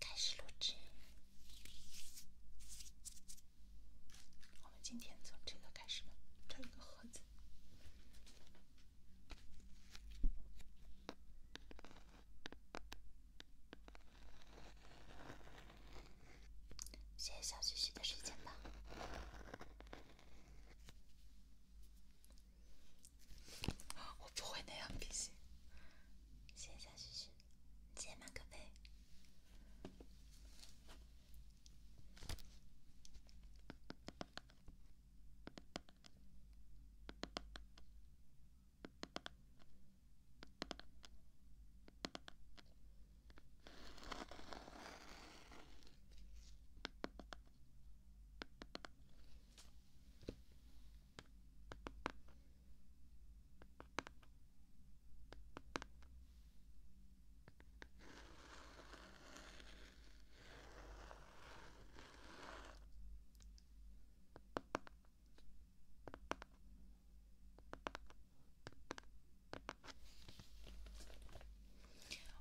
开始录制，我们今天从这个开始吧，这个盒子。谢谢小旭旭的时间吧。我不会那样，谢谢小旭旭。杰马克杯。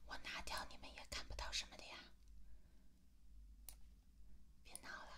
我拿掉，你们也看不到什么的呀。别闹了。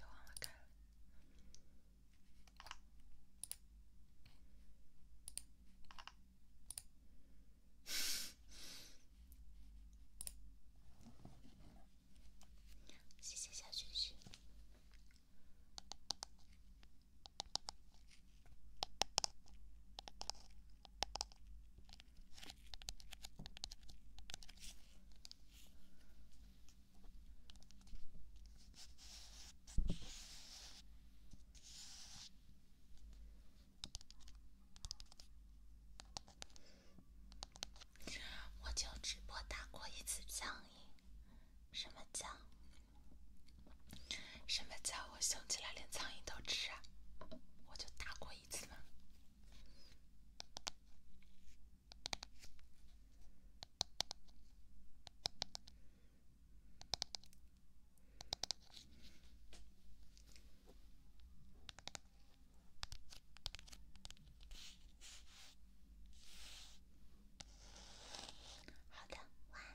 有啊，我看了。谢谢小雪雪。我就直播打过一次苍蝇，什么叫？什么叫我凶起来连苍蝇都吃啊？我就打过一次吗？好的，晚安。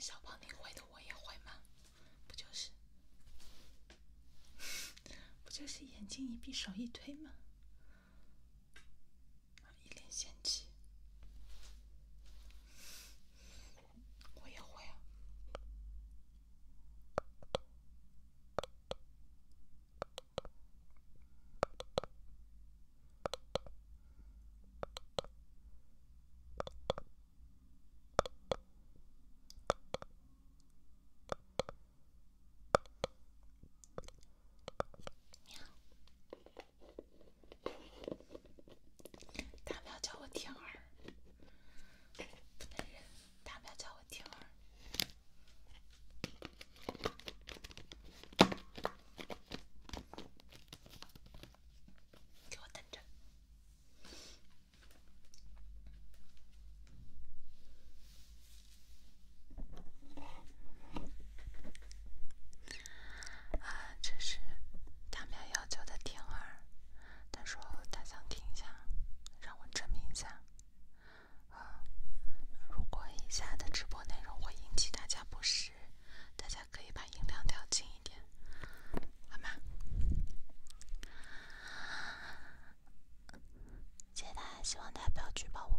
小胖，你会的我也会吗？不就是，不就是眼睛一闭，手一推吗？一脸嫌弃，我也会啊。他喵叫我天儿，不能忍！叫我天儿，给我等着！啊，这是他们要求的听儿，他说他想听一下，让我证明一下。啊，如果以下的直播内容会引起大家不适，大家可以把音量调轻一点，好吗？谢谢大家，希望大家不要举报我。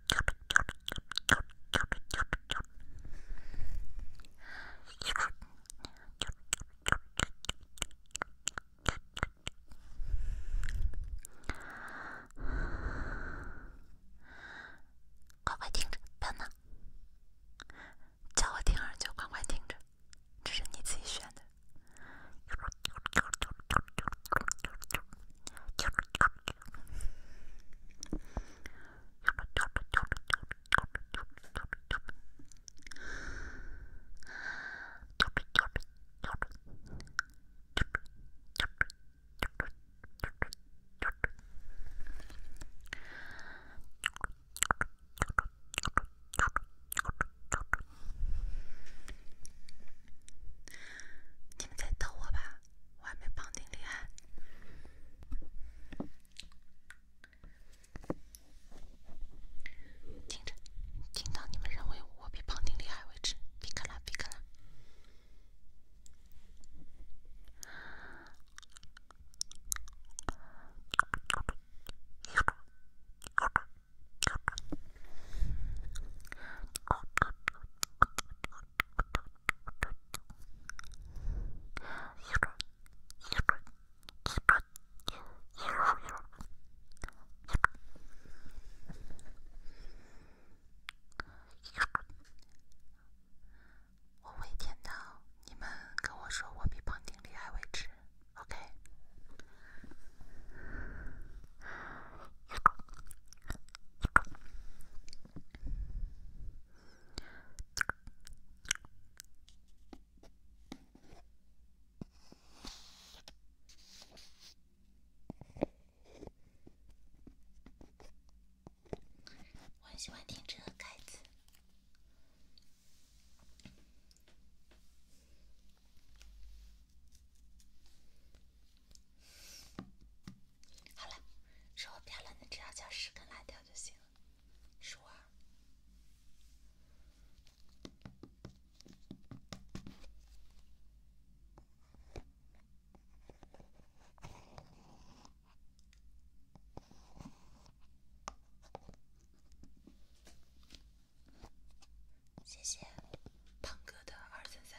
乖乖听着，别闹！叫我听，就乖乖听着。这是你自己选的。你们在逗我吧？我还没绑定厉害，听着，听到你们认为我比庞丁厉害为止，皮可拉皮可拉。我为天道，你们跟我说我比庞丁厉害为止。OK。我很喜欢听这个盖子。好了，说我漂亮的只要叫十根辣条就行了，数二。谢谢胖哥的二三三。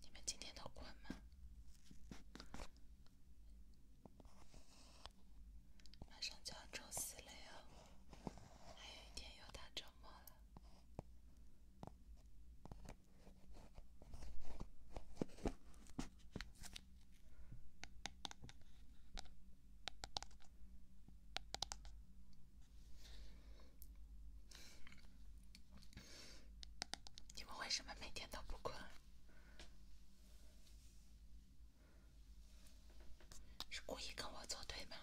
你们今天都困吗？马上就要周四了哟，还有一天就到周末了。你们为什么每天都不困？是故意跟我作对吗？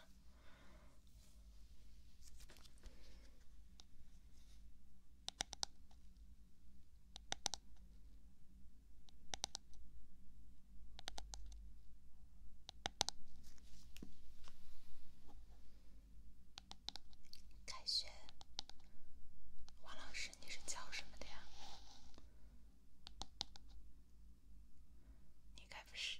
开学，王老师，你是教什么的呀？你该不是。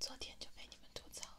昨天就被你们吐槽了。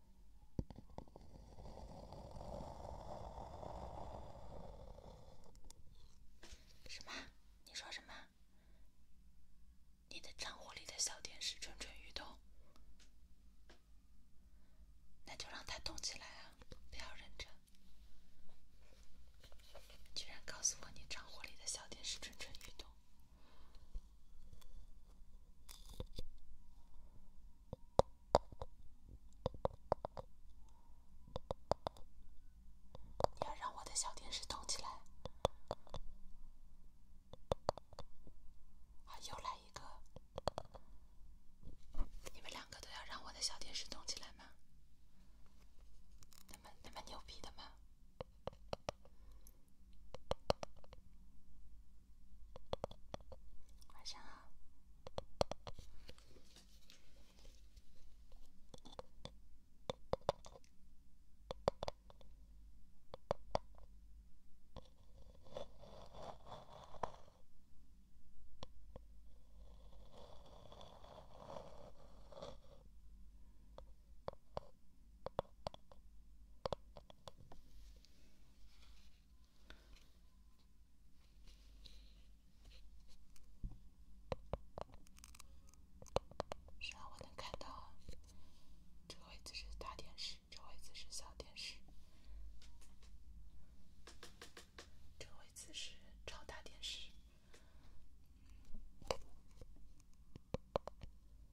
什么？你说什么？你的账户里的小电视蠢蠢欲动，那就让它动起来啊！不要忍着，居然告诉我你账户里的小电视蠢蠢欲动。你要让我的小电视动起来？啊，又来一个！你们两个都要让我的小电视动起来吗？那么那么牛逼的吗？晚上好。是啊，我能看到。这个位置是大电视，这个位置是小电视，这个位置是超大电视。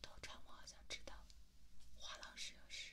都转，我好像知道，华老师有事。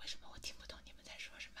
为什么我听不懂你们在说什么？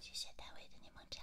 谢谢大卫的柠檬茶。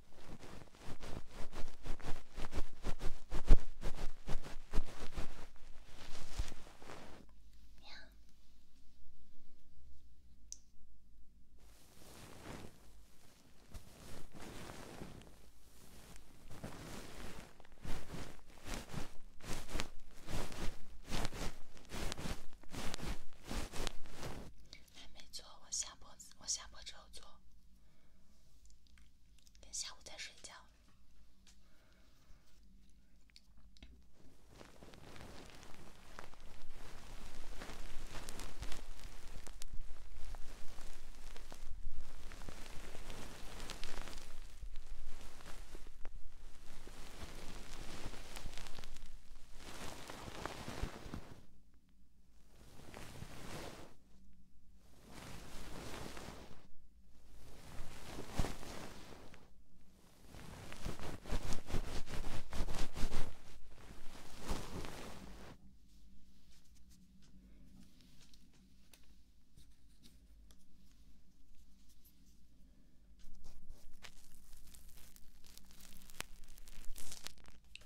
还没做，我下播，我下播之后做。等下午再睡觉。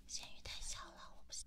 咸鱼太小了，我不行。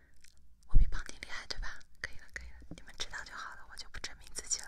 我比庞丁厉害，对吧？可以了，可以了，你们知道就好了，我就不证明自己了。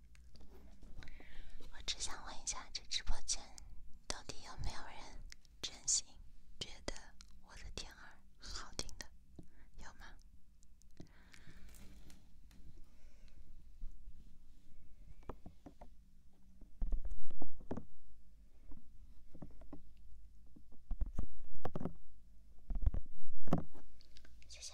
我只想问一下，这直播间到底有没有人真心觉得我的天儿好听的？有吗？谢谢。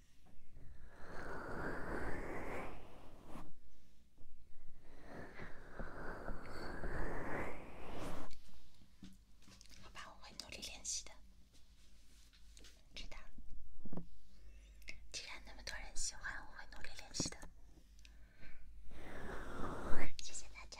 好吧，我会努力练习的，知道。既然那么多人喜欢，我会努力练习的。谢谢大家。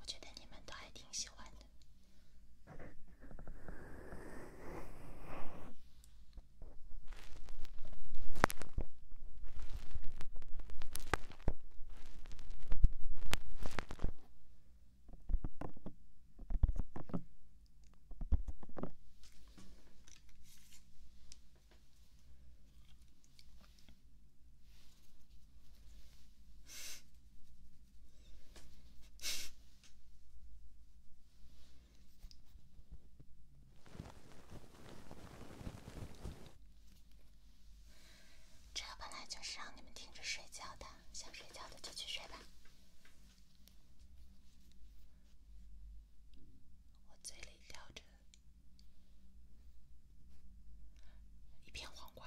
我觉得你们都还挺喜欢的。这本来就是让你们听着睡觉的，想睡觉的就去睡吧。我嘴里叼着。一片黄瓜。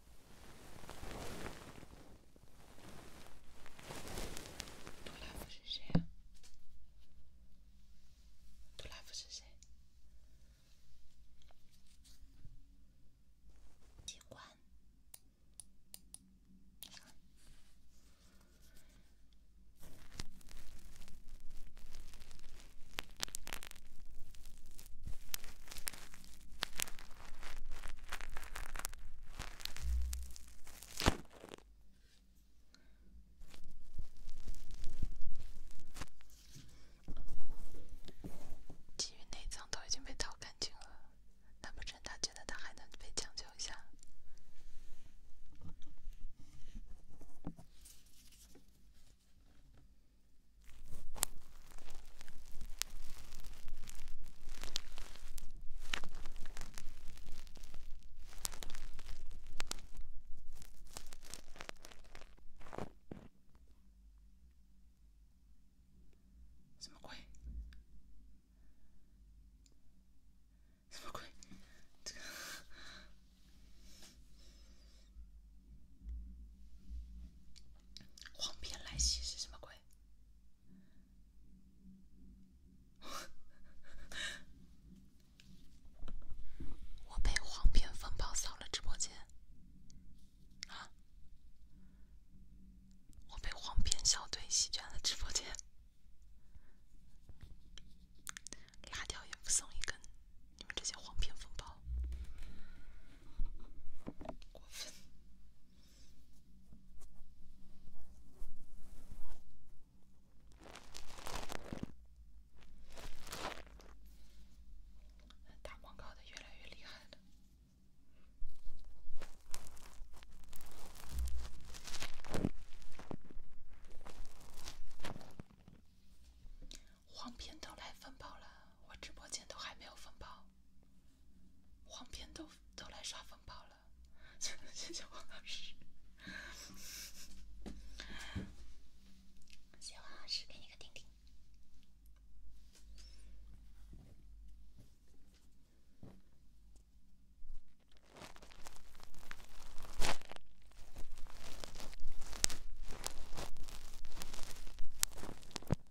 杜拉夫是谁？杜拉夫是谁？机关。鲫鱼内脏都已经被掏干净了，难不成他觉得它还能被讲究一下？什么鬼？什么鬼？这个黄片来袭是什么鬼？我被黄片风暴扫了直播间，啊！我被黄片小队席卷了直播间，辣条也不送一根，你们这些黄片风暴，打广告的越来越厉害了，黄片都来分包了，我直播间都还没有分包。黄片都都来刷风暴了，谢谢黄老师，谢谢黄老师，给你个丁丁。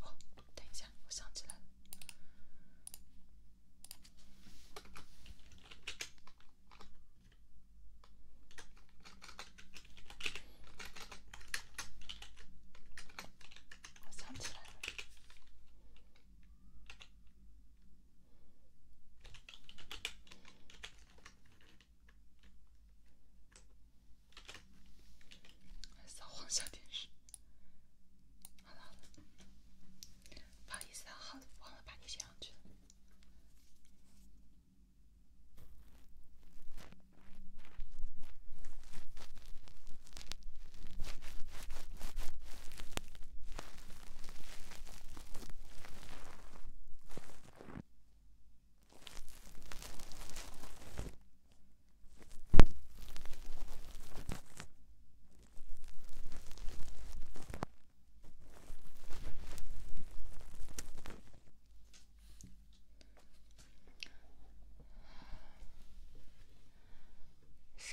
哦，等一下，我想起来了，我想起来了。扫黄小天使，好了，不好意思，好忘了把你写上去了。什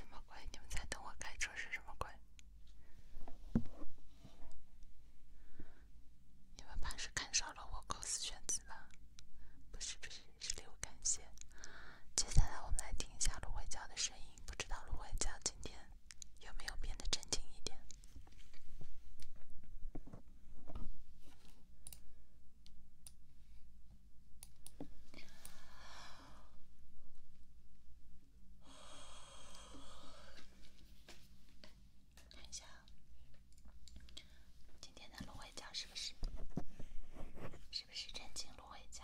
么鬼？你们在等我开车是什么鬼？你们怕是看少了我构思选词了，不是不是，是留感谢。接下来我们来听一下芦荟胶的声音，不知道芦荟胶今天有没有变得镇静一点。看一下今天的芦荟胶是不是，是不是正经芦荟胶？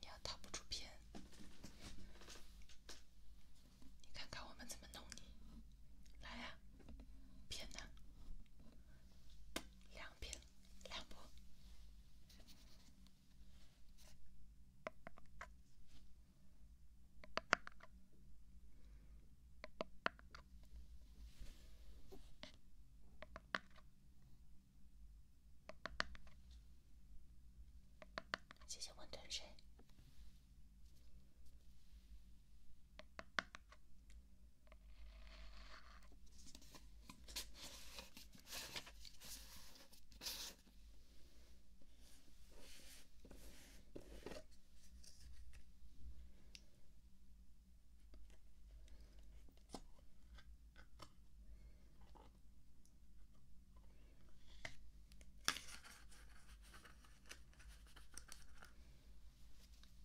你要掏不出片，你看看我们怎么弄你，来啊，片呢，两片，两部。谢谢温泉水。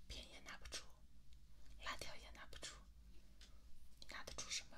笔也拿不出，辣条也拿不出，你拿得出什么？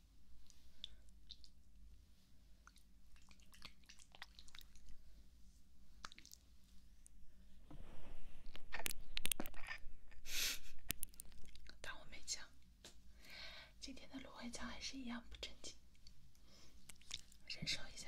当我没讲，今天的芦荟胶还是一样不正经，忍受一下。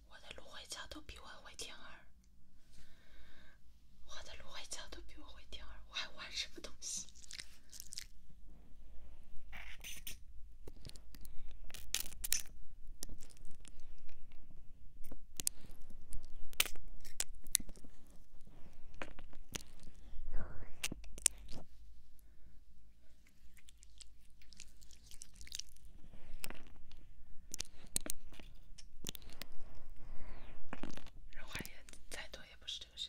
我的芦荟胶都比我会听儿，我的芦荟胶都比我会听儿，我还玩什么东西？人话也再多，也不是这个事。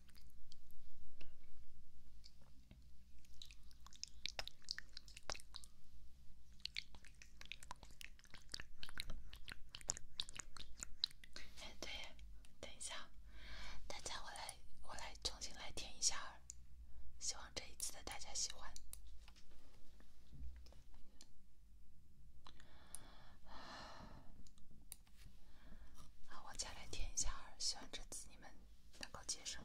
哎，对，等一下，大家我来，我来重新来填一下，希望这一次的大家喜欢。好，我再来听一下。希望这次你们能够接受。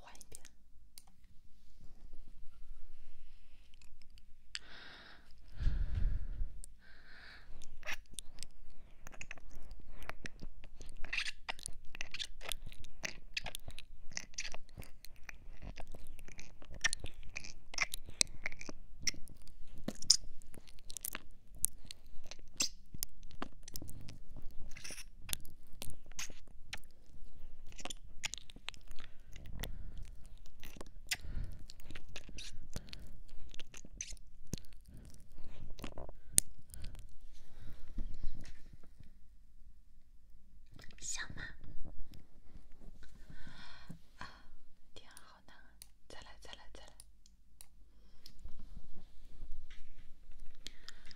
换一遍。想吗？啊，天啊，好难啊！再来，再来，再来。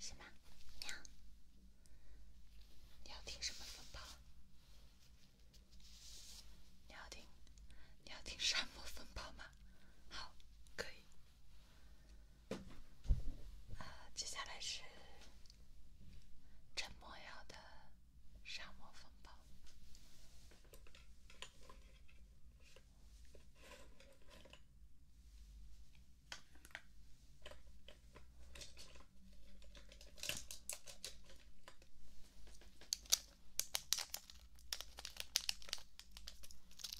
是吗？你你要听什么风暴？你要听你要听《沙漠风暴》吗？好，可以。啊，接下来是陈莫瑶的《沙漠风暴》。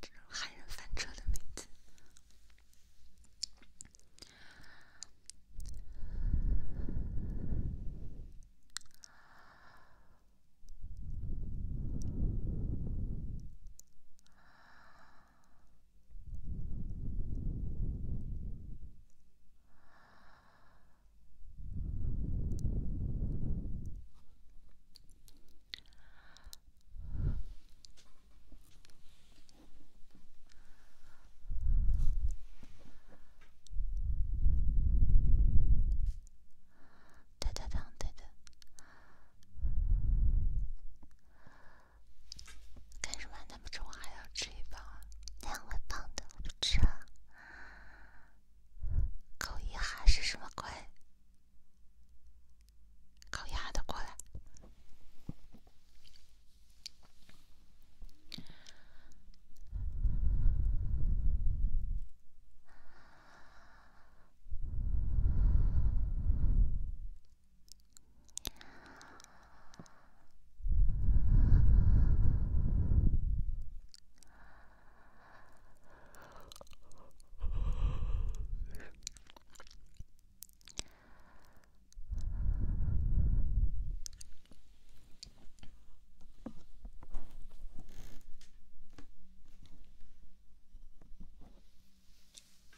这种害人翻车的名字。哒哒当，哒哒。干什么？咱们中午还要吃一包啊？那样会的，我不吃了。口一哈是什么鬼？高压的过来。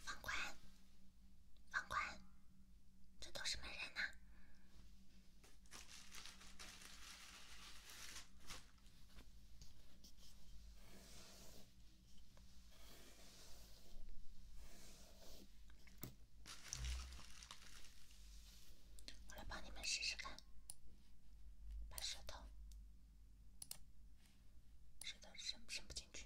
房管，房管，这都什么人呐？我来帮你们试试看，把舌头，舌头伸伸不进去。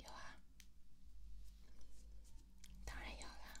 有啊，当然有了。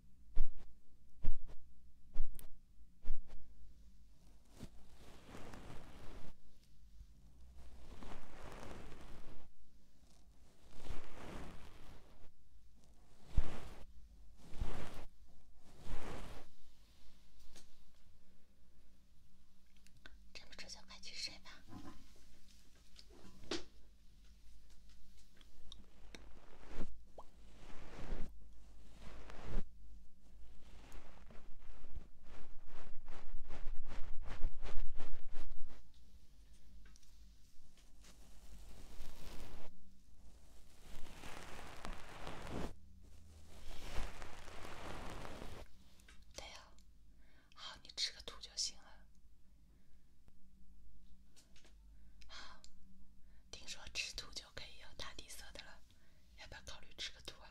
站不住就快去睡吧。对呀，好，你吃个土就行了。好，听说吃土就可以有大地色的了，要不要考虑吃个土啊？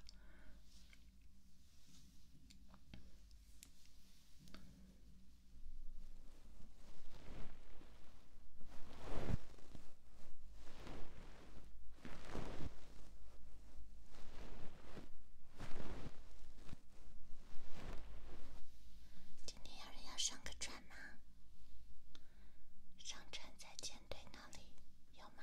今天有人要上个船吗？上船在舰队那里，有吗？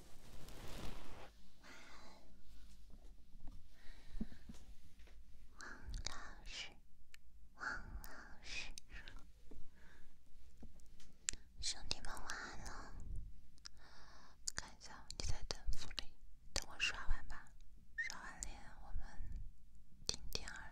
晚安，王老师，王老师，兄弟们晚安了。看一下你在等福利，等我刷完吧，刷完脸我们听点儿。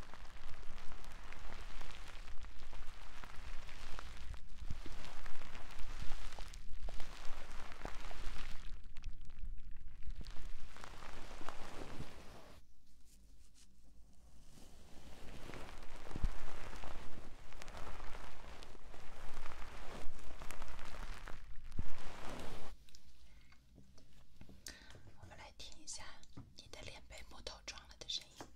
我们来听一下。你的脸被木头撞了的声音。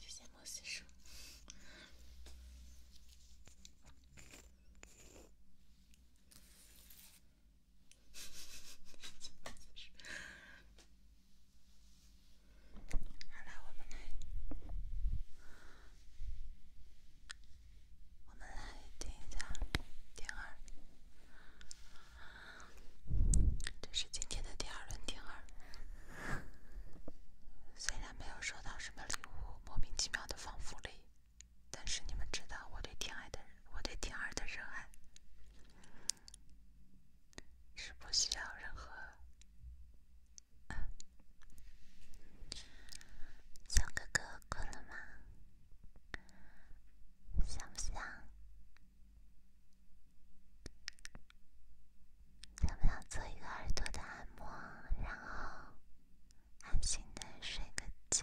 谢谢莫西叔。好了，我们来，我们来听一下，听二。这是今天的第二轮天二。虽然没有收到什么礼物，莫名其妙的放福利，但是你们知道我对天爱的我对天儿的热爱是不需要任何。小哥哥困了吗？想不想？想不想做一个耳朵的按摩，然后安心的睡个觉？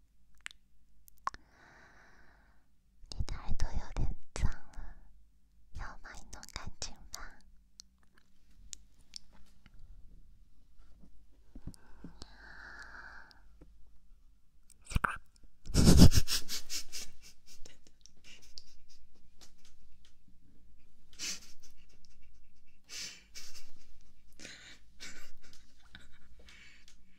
你的耳朵有点脏了，让我把你弄干净吧。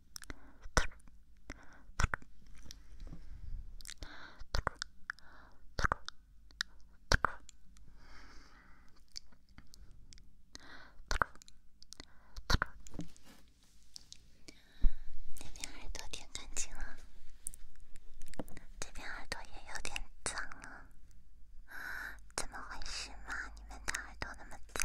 这边耳朵有点干净了，这边耳朵也有点脏了，怎么回事嘛？你们的耳朵那么脏？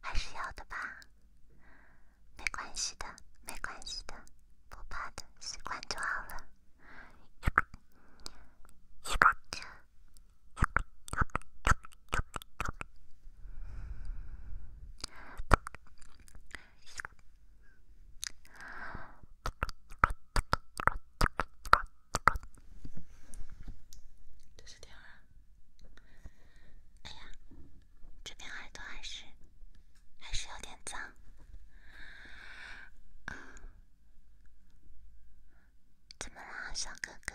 还是要的吧，没关系的，没关系的，不怕的，习惯就好了。继续听啊！哎呀，这边耳朵还是还是有点脏。怎么啦，小哥哥？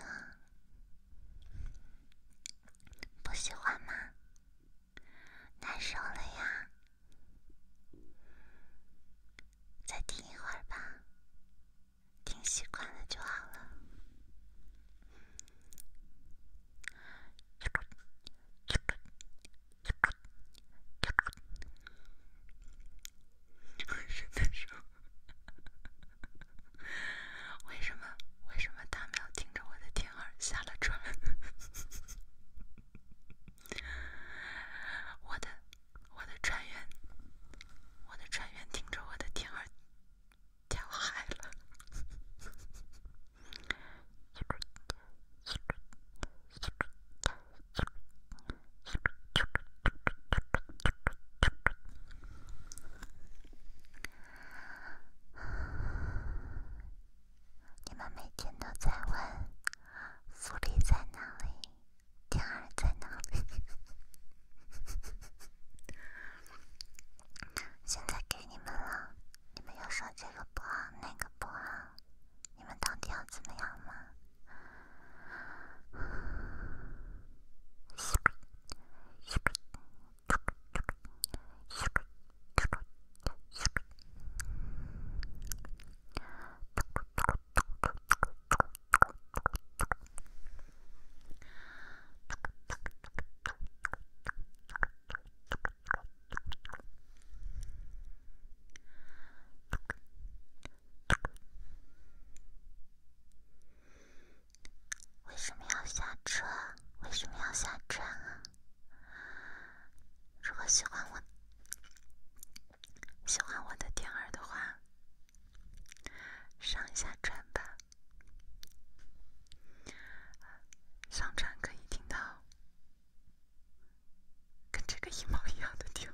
不喜欢吗？难受了呀？再听一会儿吧。听习惯了就好了。的说，为什么为什么他们要听着我的天儿下了船？我的我的船员，我的船员听着我的天儿。你们每天都在问福利在哪里？第二在哪里？现在给你们了，你们又说这个不好，那个不好，你们到底要怎么样吗？为什么要下车？为什么要下车啊？如果喜欢我，喜欢我的点儿的话。上一下船吧，上船可以听到跟这个一毛一样的地方。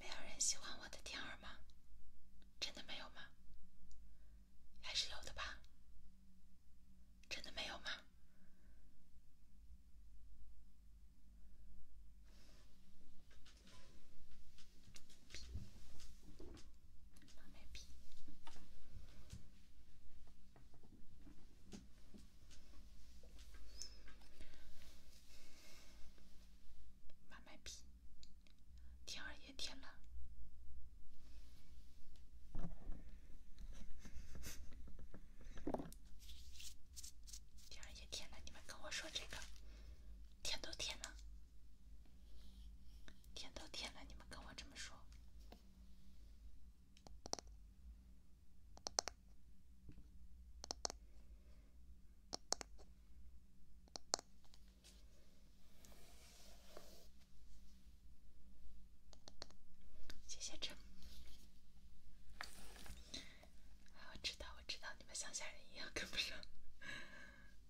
没有人喜欢我的天儿吗？真的没有吗？还是有的吧？真的没有吗？妈卖批，妈卖批。天二页天了，二你们跟我说这个。舔都舔了，舔都舔了，你们跟我这么说，谢谢吃。我知道，我知道，你们乡下人一样跟不上。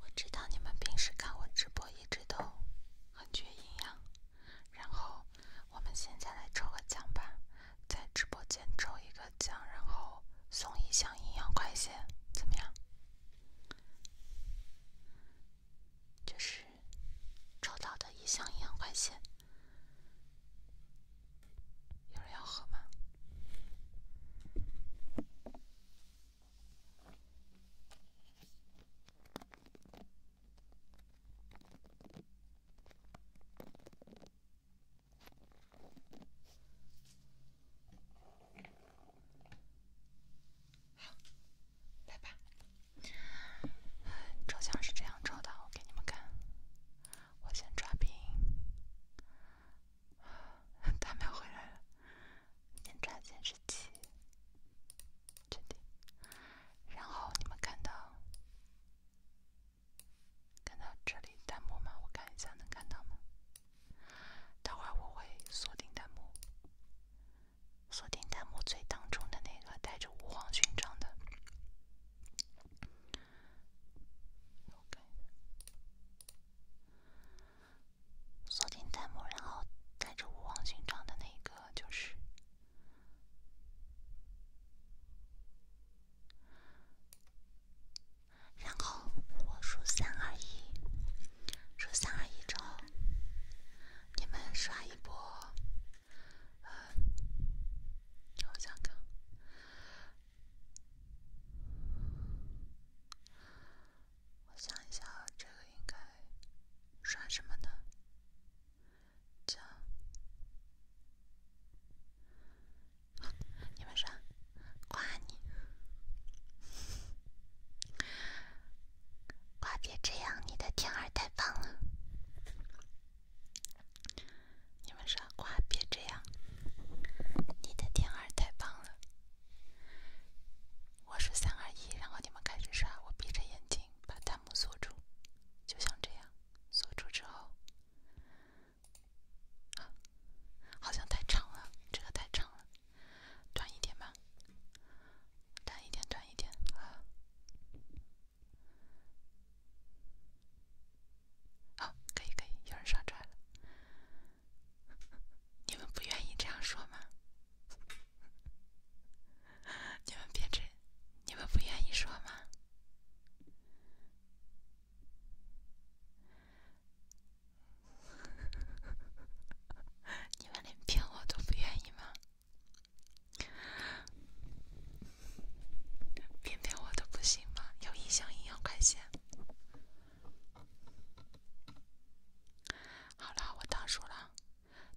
我知道你们平时看我直播一直都很缺营养，然后我们现在来抽个奖吧，在直播间抽一个奖，然后送一箱营养快线，怎么样？就是抽到的一箱营养快线。有人要喝吗？好，拜拜。照相是这样照的，我给你们看。我先抓兵，他们回来了，先抓歼十七，确定。然后你们看到看到这里弹幕吗？我看一下，能看到吗？待会儿我会锁定弹幕，锁定弹幕最当中的那个戴着五黄勋章的。锁定弹幕，然后戴着武王勋章的那个就是。然后我数三二一，数三二一之后，你们刷一波。呃，我想想看。我想一下，这个应该刷什么呢？叫你们刷，夸你，夸别这样，你的天儿太棒了。你们耍瓜别这样！你的天儿太棒了！我是三二一，然后你们开始刷，我闭着眼睛把弹幕锁住，就像这样，锁住之后，好像太长了，这个太长了，短一点吧，短一点，短一点，啊。好，可以可以，有人上传了。你们不愿意这样说吗？你们别真，你们不愿意说吗？你们连骗我都不愿意吗？偏偏我的不行吗？有一箱营养快线。好了，我倒数了，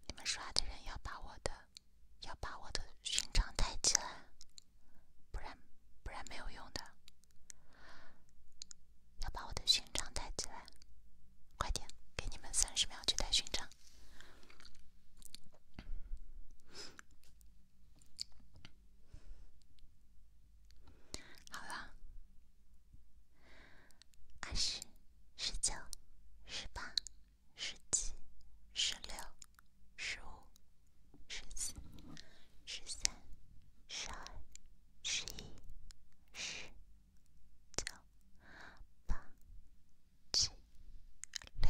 你们刷的人要把我的，要把我的勋章戴起来，不然不然没有用的。要把我的勋章戴起来，快点！给你们三十秒去戴勋章。好了，二十、十九、十八、十七、十六、十五、十四、十三、十二、十一、十、九、八、七、六。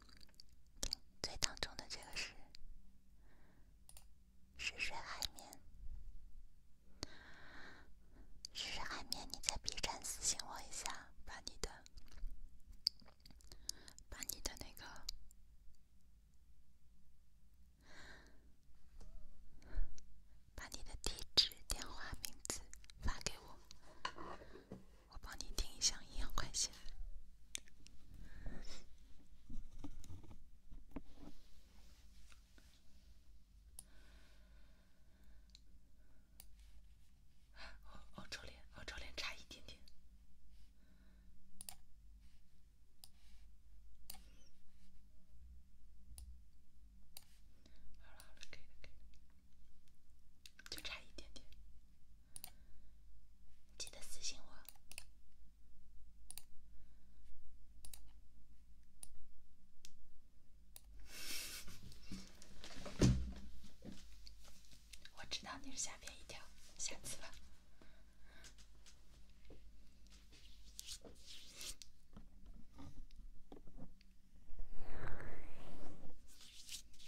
最当中的这个是是水海绵，是水海绵。你在 B 站私信我一下，把你的把你的那个把你的地址、电话、名字发给我。我帮你定一下营养快线。哦哦，照脸，脸脸差一点点。好了就差一点点，记得私信我。我知道你是吓别一条，下次吧。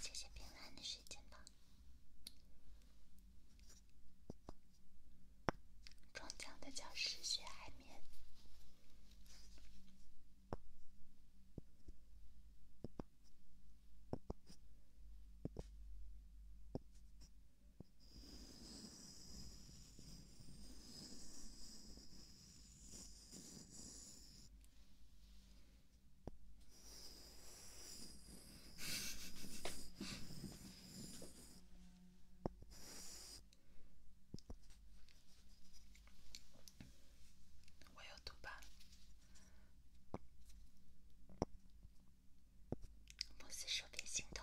谢谢平安的时间到。中奖的教室，雪海绵。我要读吧，不是说别心动。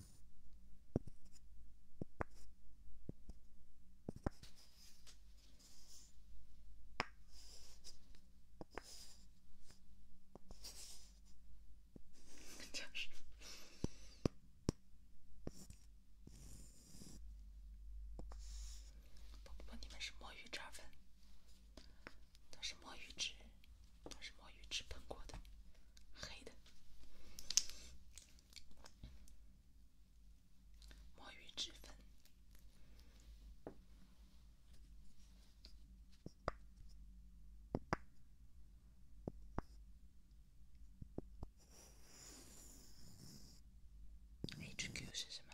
叫什不不不，你们是墨鱼汁粉，都是墨鱼汁，都是墨鱼汁喷过的，黑的。墨鱼脂粉，HQ 是什么？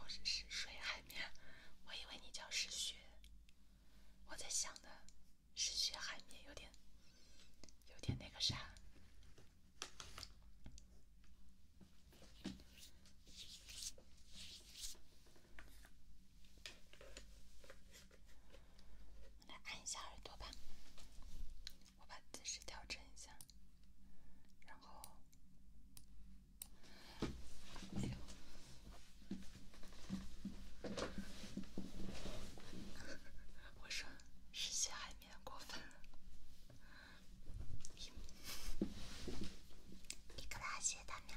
我是失水海绵，我以为你叫失雪，我在想的，是血海绵有点，有点那个啥。来按一下耳朵吧，我把姿势调整一下，然后，哎呦，我说，湿吸海绵过分，你干嘛？谢谢大喵。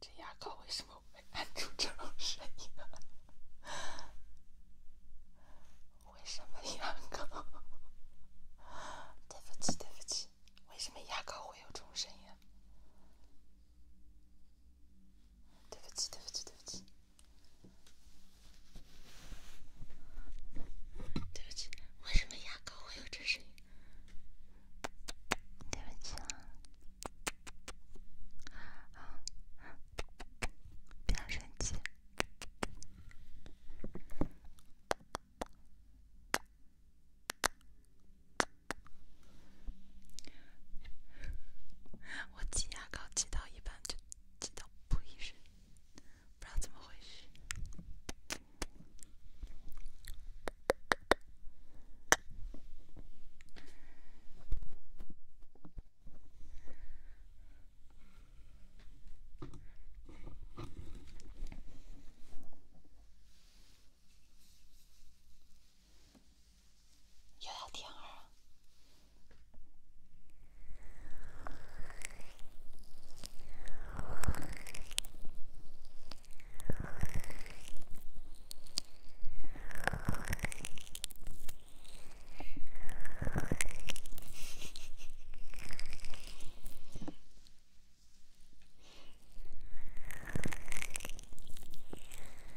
这牙膏为什么会按出这种声音？为什么牙膏？对不起对不起，为什么牙膏会有重声音？对不起，对不起，对不起，对不起，为什么牙膏会有这声音？对不起啦，好，变声器。我挤牙膏挤到一半就挤到不一致，不知道怎么回事。有点儿甜儿。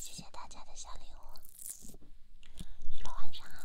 谢谢大家的小礼物，晚上好。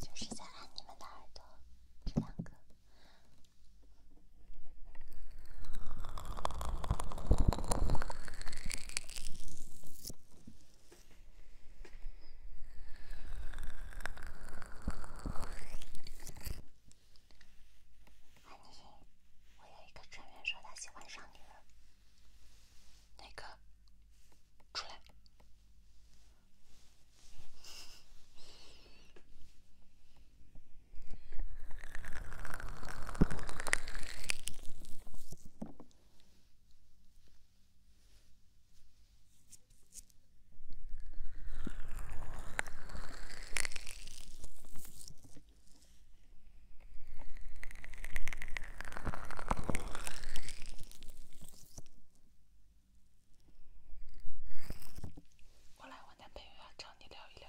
就是在按你们的耳朵，这两个。安妮，我有一个成员说他喜欢上你了，那个？出来。我来，我男朋友要找你聊一聊。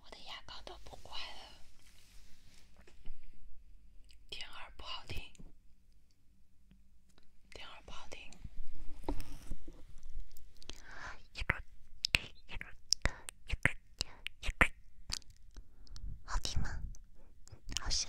我的牙膏都不乖了，调儿不好听，儿不好听，好听吗？好像。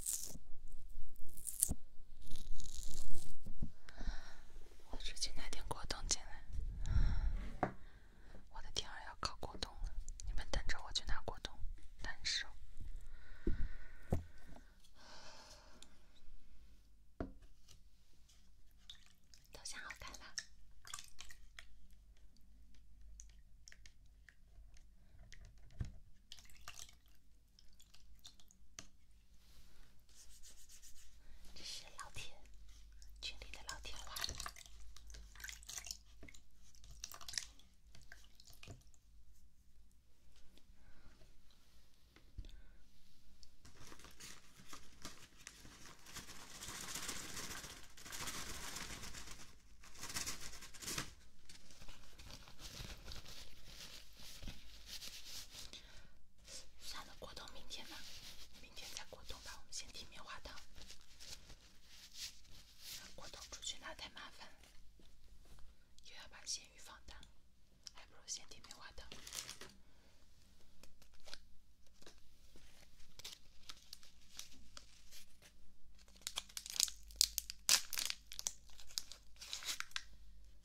我去拿点果冻进来，我的天啊，要烤果冻了！你们等着我去拿果冻，难受。头像好看了。这是老铁群里的老铁们。算了，果冻，明天吧，明天再果冻吧。我们先听棉花糖。果冻出去拿太麻烦了，又要把咸鱼放蛋，还不如先听棉花糖。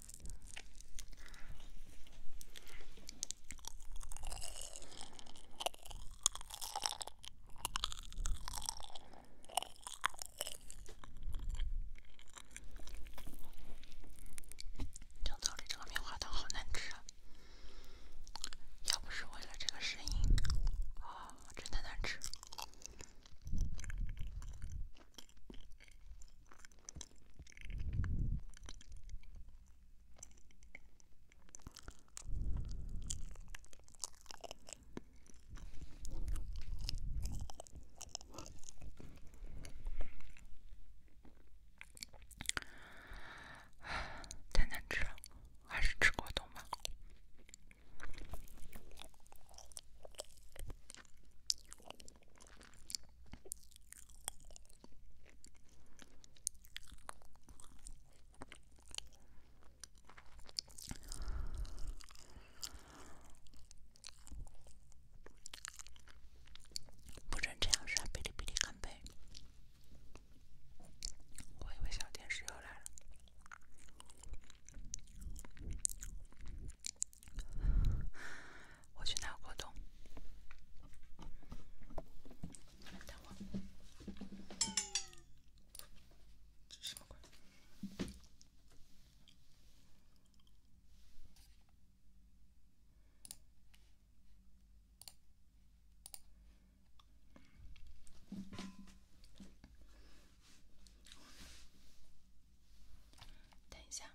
今天这个棉花糖好难吃啊！要不是为了这个声音，啊，真的难吃。太难吃了，还是吃果冻吧。不准这样刷，哔哩哔哩很悲。我以为小天使要来了。我去拿果冻。等我。等一下。